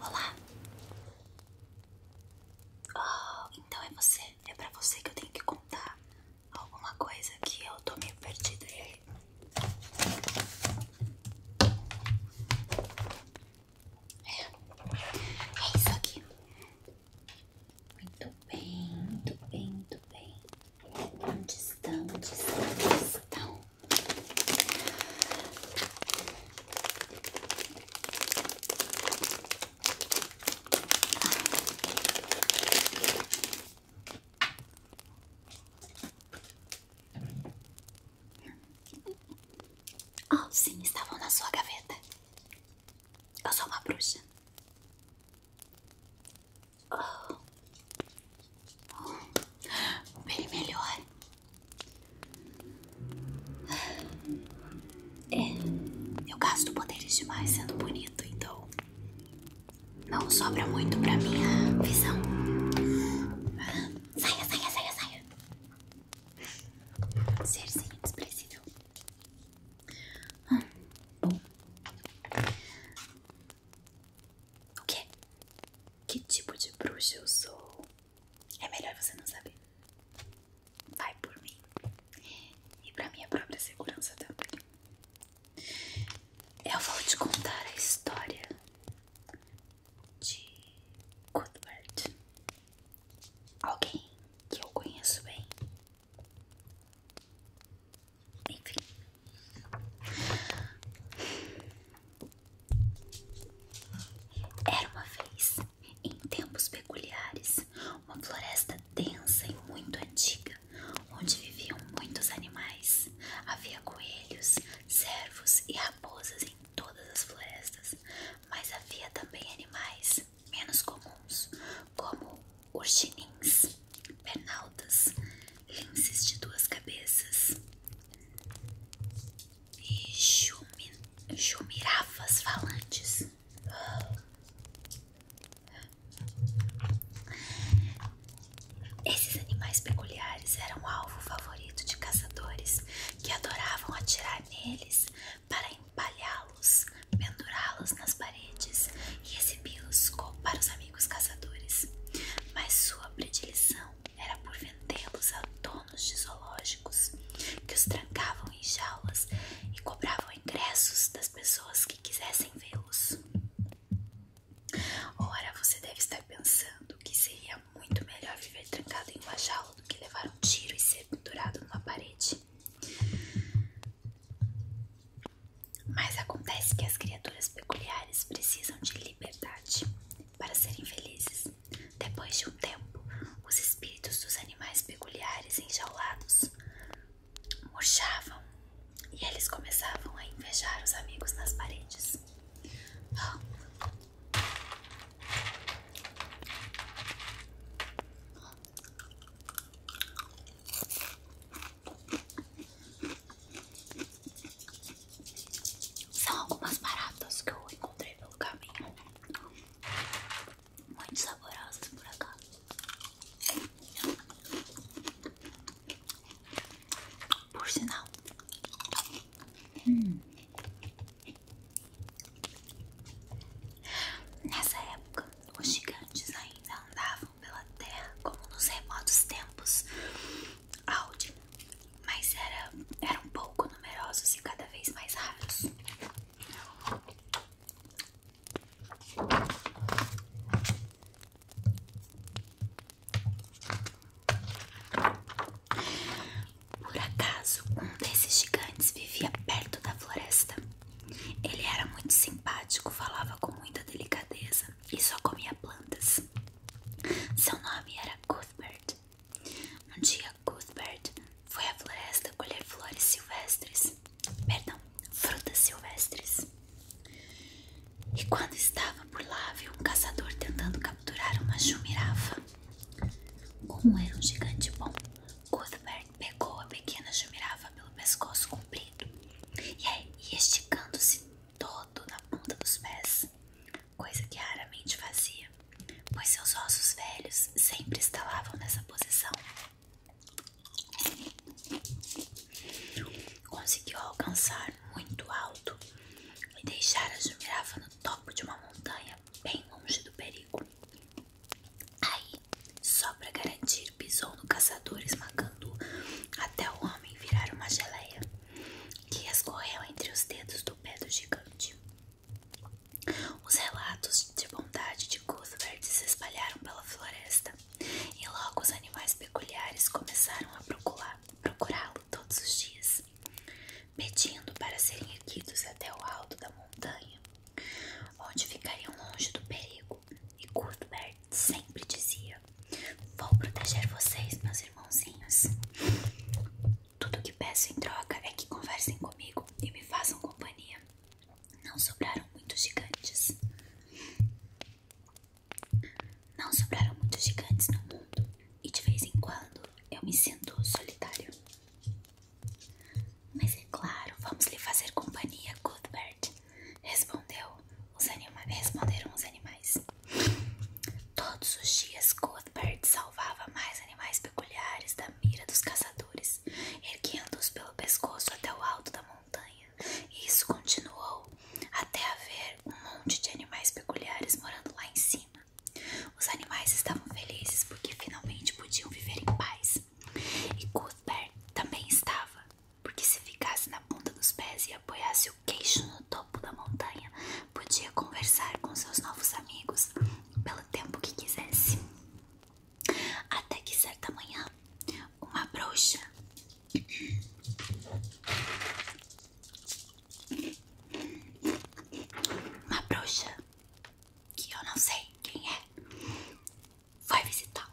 Olá! Oh, então é você, é pra você que eu tenho que contar alguma coisa que eu tô meio perdida. É, é isso aqui. Muito bem, muito bem, muito bem. Onde estão? Onde estão? Onde estão? Oh, sim, estavam na sua gaveta. Eu sou uma bruxa. Oh. Bem melhor. É, eu gasto poderes demais sendo bonito, então. Não sobra muito pra minha visão. Saia, saia, saia, saia. Ser inexpressível. Hum, O quê? que tipo de bruxa eu sou, é melhor você não saber. Vai por mim. E pra minha própria segurança também. Eu vou te contar a história de Cuthbert. Alguém que eu conheço bem. Enfim. Era uma vez, em tempos peculiares, uma floresta densa e muito antiga, onde viviam muitos animais. Havia coelhos, cervos e raposas em todas as florestas, mas havia também animais menos comuns, como urchinins, pernaltas, linces de duas cabeças e chumi, chumirafas falantes. Esses animais peculiares eram alvo favorito de caçadores que adoravam atirar neles para empalhá-los, pendurá-los nas paredes e exibi-los para os amigos os caçadores, mas sua predileção era por vendê-los a donos de zoológicos, que os trancavam em jaulas e cobravam ingressos das pessoas que quisessem vê-los. Ora, você deve estar pensando que seria muito melhor viver trancado em uma jaula do que levar um tiro e ser pendurado numa parede. Mas acontece que as criaturas peculiares precisam de liberdade para serem felizes. Depois de um tempo, os espíritos dos animais peculiares enjaulados murchavam e eles começavam a invejar os amigos nas paredes. São algumas baratas que eu encontrei pelo caminho. Muito saborosas por acaso. Por sinal. Hum. Nessa época, os gigantes ainda andavam pela terra como nos remotos tempos Audi, mas era, eram pouco numerosos e cada vez mais raros. Por acaso, um desses gigantes vivia perto da floresta ele era muito simpático, falava com muita delicadeza e só comia plantas. Seu nome era Cuthbert. Um dia, Cuthbert foi à floresta colher flores silvestres perdão, frutas silvestres. E quando estava por lá, viu um caçador tentando capturar uma jumirafa. Como era um gigante bom, Cuthbert Pegou a pequena jumirava pelo pescoço comprido e esticando-se todo na ponta dos pés, coisa que raramente fazia, pois seus ossos velhos sempre estalavam nessa posição. Conseguiu alcançar muito alto e deixar a jumirava no topo de uma montanha, bem longe do perigo. Aí, só para garantir, pisou no caçador, esmagando até o homem virar uma geleia que escorreu entre os dedos do pé do gigante. Os relatos de bondade de Cuthbert se espalharam pela floresta e logo os animais peculiares começaram a procurá-lo todos os dias, pedindo para serem erguidos até o alto da montanha, onde ficariam longe do perigo e Cuthbert sempre dizia: Vou proteger vocês, meus irmãozinhos. Tudo que peço em troca é que conversem comigo e me façam companhia. Não sobraram muitos gigantes. Não sobraram muitos gigantes no mundo, e de vez em quando eu me sinto solitário. Mas é claro, vamos lhe fazer companhia, Cuthbert, respondeu os responderam os animais. Todos os dias, Cuthbert salvava mais animais peculiares da mira dos caçadores, erguendo-os pelo pescoço até o alto da montanha. E isso continuou até haver um monte de animais peculiares morando lá em cima. Os animais estavam felizes porque finalmente podiam viver em paz. E Cuthbert também estava, porque se ficasse na ponta dos pés e apoiasse o queixo no topo da montanha, podia conversar com seus novos amigos pelo tempo que quisesse. Até que certa manhã, uma bruxa uma bruxa que eu não sei quem é Vai visitá-lo.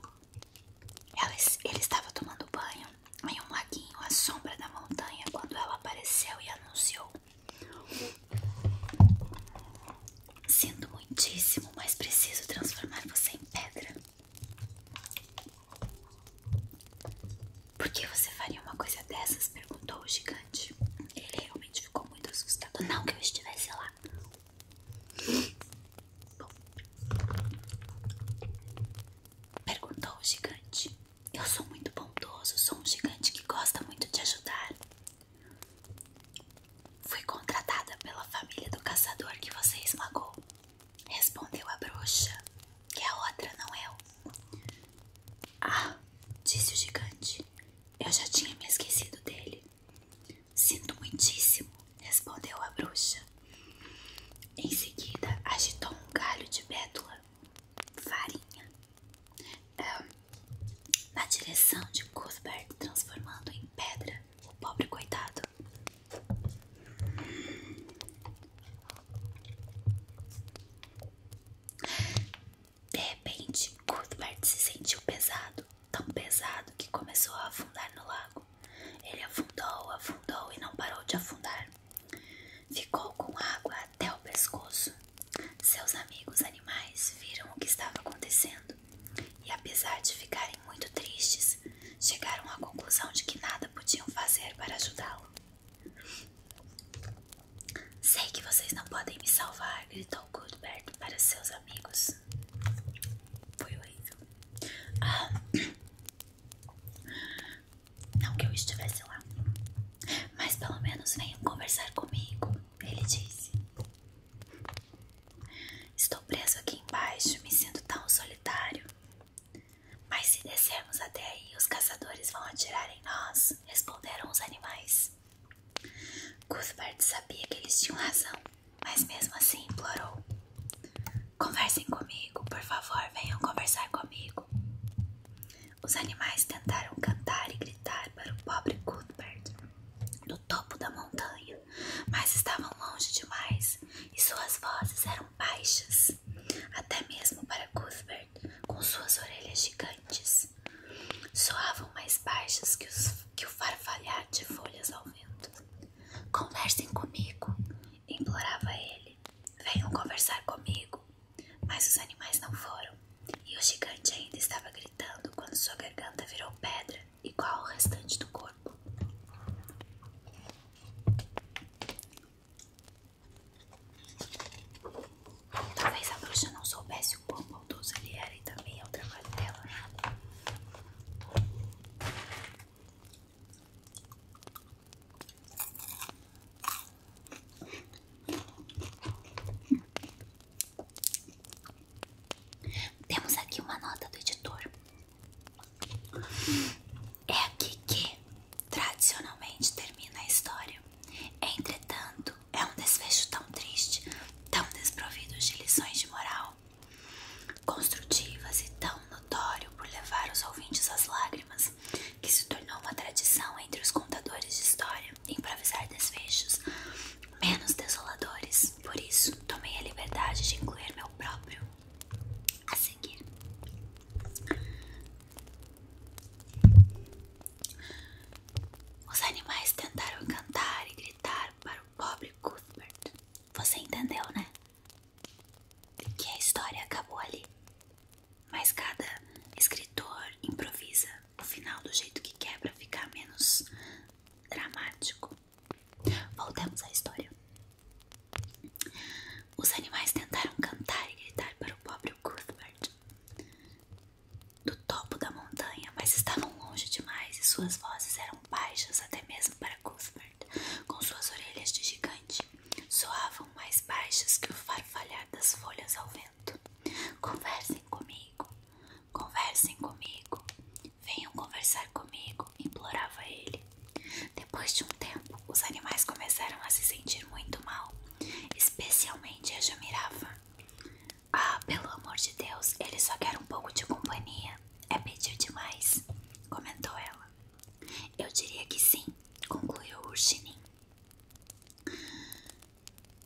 Ele estava tomando banho em um laguinho à sombra da montanha quando ela apareceu e anunciou: Sinto muitíssimo, mas preciso transformar você em pedra. Por que você faria uma coisa dessas? perguntou o gigante. Ele realmente ficou muito assustado. Não que eu estivesse lá. Perguntou o gigante. Eu sou muito bondoso, sou um gigante que gosta muito de ajudar. Fui contratada pela família do caçador que você esmagou, respondeu a bruxa, que a outra não é eu. Ah, disse o gigante, eu já tinha me esquecido dele. Sinto muitíssimo, respondeu a bruxa. Em seguida, agitou um galho de bétula, farinha, é, na direção de Cuthbert, transformando em pedra o pobre coitado. De repente, Cuthbert se sentiu pesado, tão pesado que começou a afundar no lago. Ele afundou, afundou e não parou de afundar. Ficou com água até o pescoço. Seus amigos animais viram o que estava acontecendo e, apesar de ficarem muito tristes, chegaram à conclusão de que nada podiam fazer para ajudá-lo. Sei que vocês não podem me salvar, gritou Cuthbert para seus amigos. Foi horrível. Ah, não que eu estivesse lá. Mas pelo menos venham conversar comigo, ele disse. Estou preso aqui embaixo, me sinto tão solitário. Mas se descermos até aí, os caçadores vão atirar em nós, responderam os animais. Cuthbert sabia que eles tinham razão, mas mesmo assim implorou: Conversem comigo, por favor, venham conversar comigo. Os animais tentaram cantar e gritar para o pobre Cuthbert do topo da montanha, mas estavam longe demais e suas vozes eram baixas, até mesmo para Cuthbert, com suas orelhas gigantes. Soavam mais baixas que, que o farfalhar de folhas ao vento. Conversem comigo, implorava ele. Venham conversar comigo. Mas os animais não foram, e o gigante ainda estava gritando quando sua garganta virou pedra, igual ao restante do corpo. Talvez a bruxa não soubesse o quão bondoso ele era e também é o trabalho dela, né? Temos aqui uma nota do editor. É aqui que Tradicionalmente termina a história. Entretanto, é um desfecho tão triste, tão desprovido de lições de moral construtivas e tão notório por levar os ouvintes às lágrimas, que se tornou uma tradição entre os contadores de história improvisar desfechos menos desoladores. Por isso, tomei a liberdade de incluir meu próprio a seguir. Os animais tentaram cantar e gritar para o pobre Cuthbert. Você entendeu, né? Que a história acabou ali. Mas cada escritor improvisa o final do jeito que quer para ficar menos dramático. Voltamos à história. Os animais tentaram cantar e gritar para o pobre Cuthbert do topo da montanha, mas estavam longe demais e suas vozes eram baixas até mesmo para Cuthbert, com suas orelhas de gigante. Soavam mais baixas que o farfalhar das folhas ao vento. Conversem comigo, conversem comigo, venham conversar comigo, implorava ele. Depois de um tempo, os animais começaram a se sentir muito mal Especialmente a Jamirava. Ah, pelo amor de Deus, ele só quer um pouco de companhia. É pedir demais, comentou ela. Eu diria que sim, concluiu Urshinin.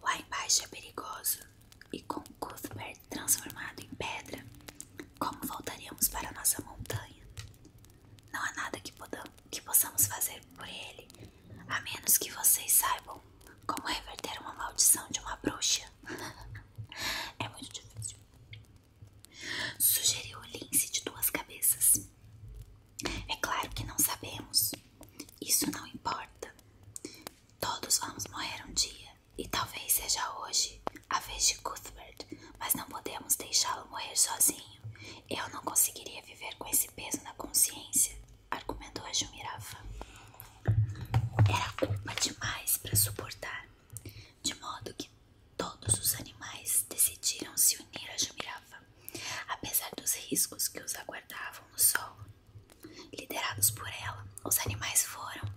Lá embaixo é perigoso. E com Cuthbert transformado em pedra, como voltaríamos para nossa montanha? Não há nada que, possamos fazer por ele, a menos que vocês saibam como reverter uma maldição de uma bruxa. é muito difícil. Sugeriu o lince de duas cabeças. É claro que não sabemos. Isso não importa. Todos vamos morrer um dia, e talvez seja hoje a vez de Cuthbert, mas não podemos deixá-lo morrer sozinho. Eu não conseguiria viver com esse peso na consciência, argumentou a Jumirava. Era culpa demais para suportar, de modo que todos os animais decidiram se unir a Jumirava, apesar dos riscos que os aguardavam no solo. Liderados por ela, os animais formaram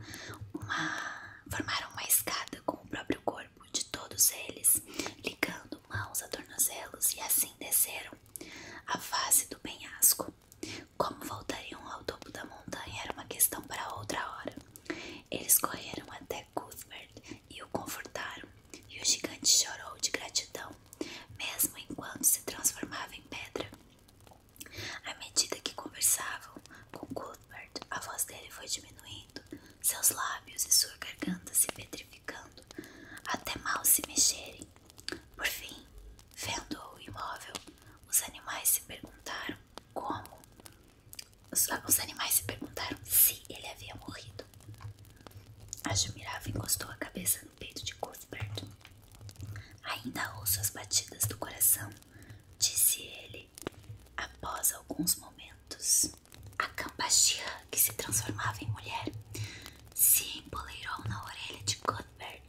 uma escada com o próprio corpo de todos eles, ligando mãos a tornozelos, e assim desceram a face do penhasco. Como voltariam ao topo da montanha era uma questão para outra hora. Eles correram até Cuthbert e o confortaram, e o gigante chorou de gratidão, mesmo enquanto se transformava em pedra. À medida que conversavam com Cuthbert, a voz dele foi diminuindo seus lábios e sua garganta se petrificando, até mal se mexerem. Por fim, vendo-o imóvel, os animais se perguntaram como. Os, ah, os animais se perguntaram se ele havia morrido. A Jumirava encostou a cabeça no peito de Cuthbert. Ainda ouço as batidas do coração, disse ele Após alguns momentos, a Cambaxia, que se transformava em mulher, se empoleirou na orelha de Cuthbert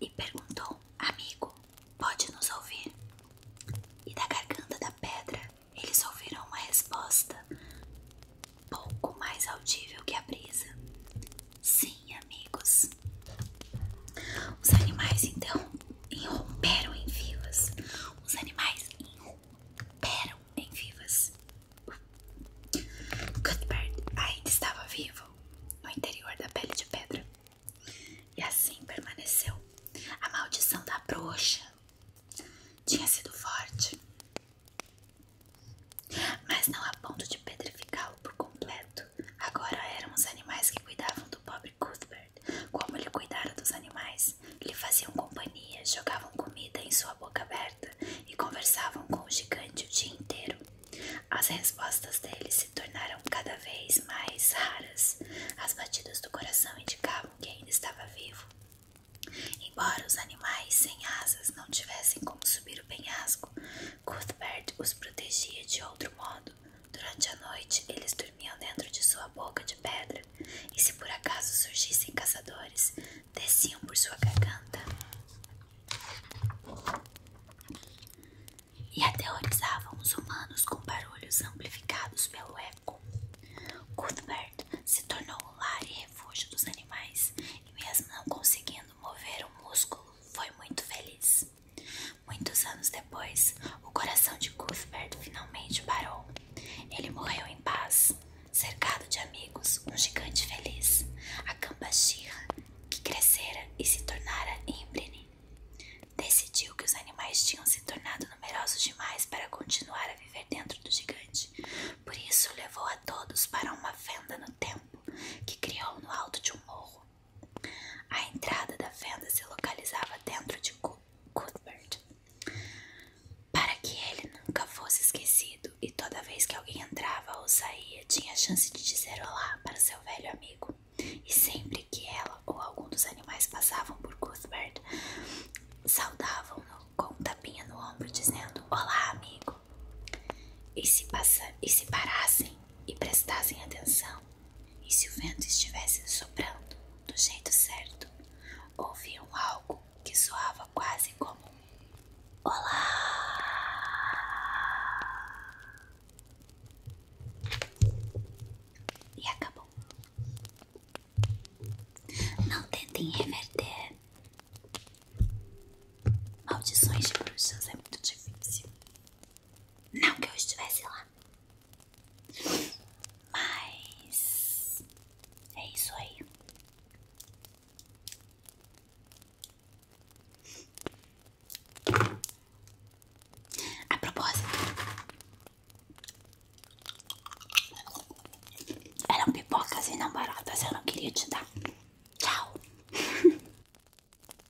e perguntou: Amigo, pode nos ouvir? E da garganta da pedra eles ouviram uma resposta pouco mais audível que a brisa: Sim, amigos. Os animais então enromperam em vivas. Os animais enromperam em vivas. Cuthbert ainda estava vivo no interior da pele de pedra. E assim permaneceu. A maldição da bruxa tinha sido forte, mas não a ponto de petrificá-lo por completo. Agora eram os animais que cuidavam do pobre sobre Cuthbert, como ele cuidara dos animais. Lhe faziam companhia, jogavam comida em sua boca aberta e conversavam com o gigante o dia inteiro. As respostas dele se tornaram cada vez mais raras. As batidas do coração indicavam que ainda estava vivo. Embora os animais sem asas não tivessem como subir o penhasco, Cuthbert os protegia de outro modo. Durante a noite, eles dormiam dormiam dentro de sua boca de pedra, e se por acaso surgissem caçadores, desciam por sua garganta e aterrorizavam os humanos com barulhos amplificados pelo eco. Cuthbert se tornou o lar e refúgio dos animais, e mesmo não conseguindo mover o músculo, foi muito feliz. Muitos anos depois, o coração de Cuthbert finalmente parou. Ele morreu em paz, cercado de amigos, um gigante feliz, a Cambachirra, que crescera e se tornara Imbrine. Decidiu que os animais tinham se tornado numerosos demais para continuar a viver dentro do gigante. Por isso, levou a todos para uma fenda no templo que criou no alto de um morro, a entrada da fenda se localizava dentro de Cuthbert, para que ele nunca fosse esquecido e toda vez que alguém entrava ou saía tinha a chance de dizer olá para seu velho amigo. E sempre que ela ou algum dos animais passavam por Cuthbert, saudavam-no com um tapinha no ombro dizendo olá amigo. E se, passa, e se parassem e prestassem atenção, e se o vento estivesse soprando do jeito certo, ouviam algo que soava quase como Olá! E acabou. Não tentem reverter. Maldições de bruxas é muito difícil. Não que eu estivesse lá. Mas é isso aí. A propósito, eram pipocas e não baratas. Eu não queria te dar. Tchau.